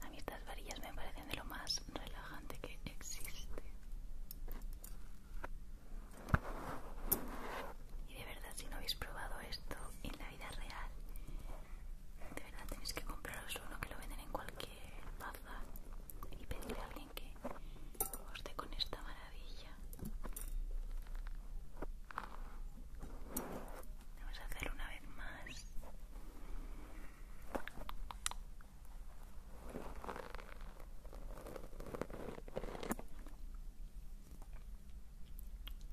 A mí estas varillas me parecen de lo más relajante que existe. Y de verdad, si no habéis probado esto en la vida real. De verdad tenéis que compraros uno que lo venden en cualquier baza y pedirle a alguien que os dé con esta maravilla. Vamos a hacerlo una vez más.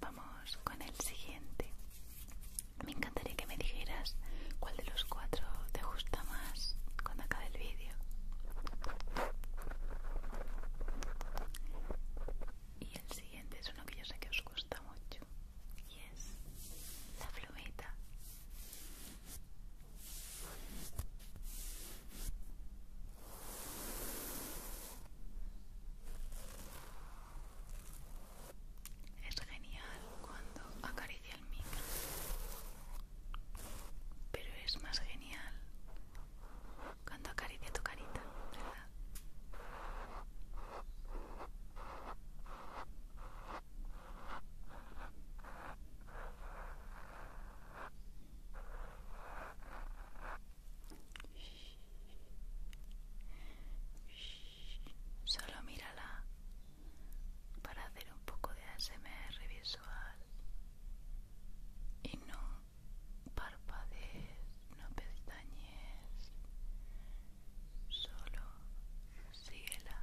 Vamos con el siguiente me encantaría que me dijeras cuál de los cuatro te gusta más cuando acabe el vídeo. Y el siguiente es uno que yo sé que os gusta mucho y es la plumita. Es genial cuando acaricia el micro, pero es más genial cuando acaricia tu carita, ¿verdad? Solo mírala para hacer un poco de ASMR visual y no parpadees, no pestañes, solo síguela.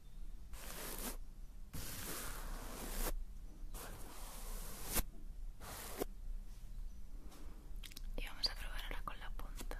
Y vamos a probar ahora con la punta.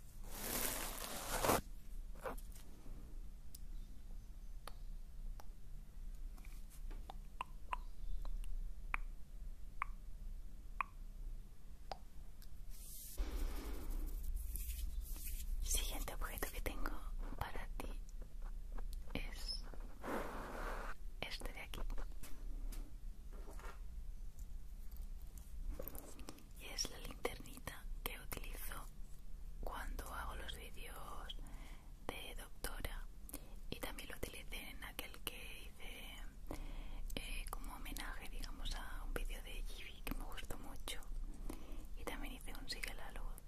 Siguiente objeto que tengo para ti es este de aquí y es la linternita que utilizo cuando hago los vídeos de doctora y también lo utilicé en aquel que hice eh, como homenaje digamos a un vídeo de Givi que me gustó mucho y también hice un sigue la luz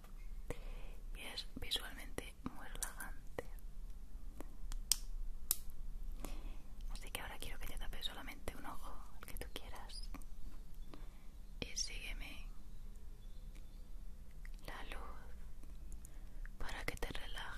y es visualmente muy relajante así que ahora quiero que te tapes solamente un ojo, el que tú quieras. Y sígueme la luz para que te relajes.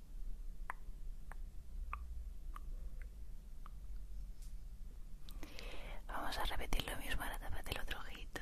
Vamos a repetir lo mismo para tapa del otro ojito.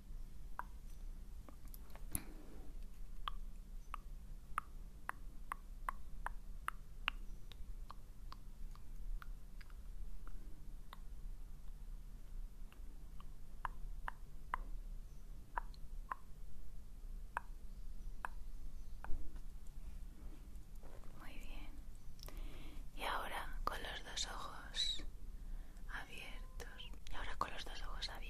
Muy bien. Y ahora con los dos ojos abiertos. Y ahora con los dos ojos abiertos.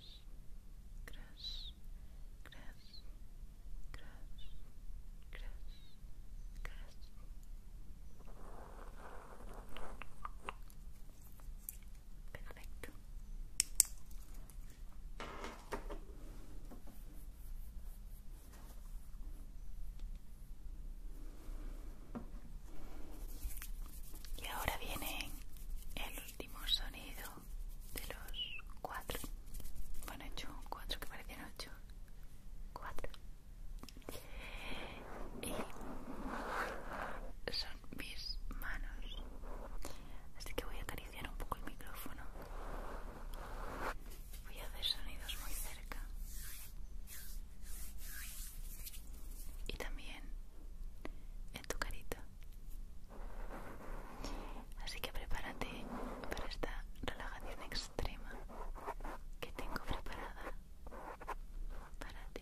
Cras, cras, cras, cras, Perfecto. Y ahora viene el último sonido de los cuatro. Bueno, hecho cuatro que parecían ocho. Cuatro. Y son mis manos. Así que voy a acariciar un poco el micrófono. Voy a hacer sonidos muy cerca. Y también en tu carita. Así que prepárate para esta relajación extrema que tengo preparada para ti.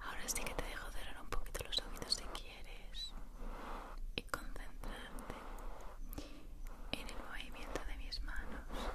Ahora sí que te dejo cerrar un poquito los ojitos si quieres y concentrarte en el movimiento de mis manos.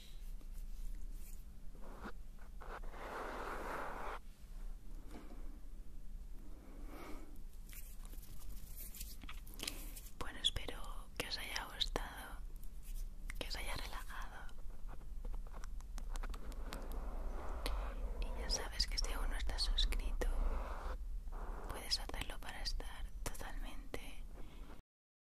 Bueno, espero que os haya gustado, que os haya relajado. Y ya sabes que si aún no estás suscrito, puedes hacerlo para estar totalmente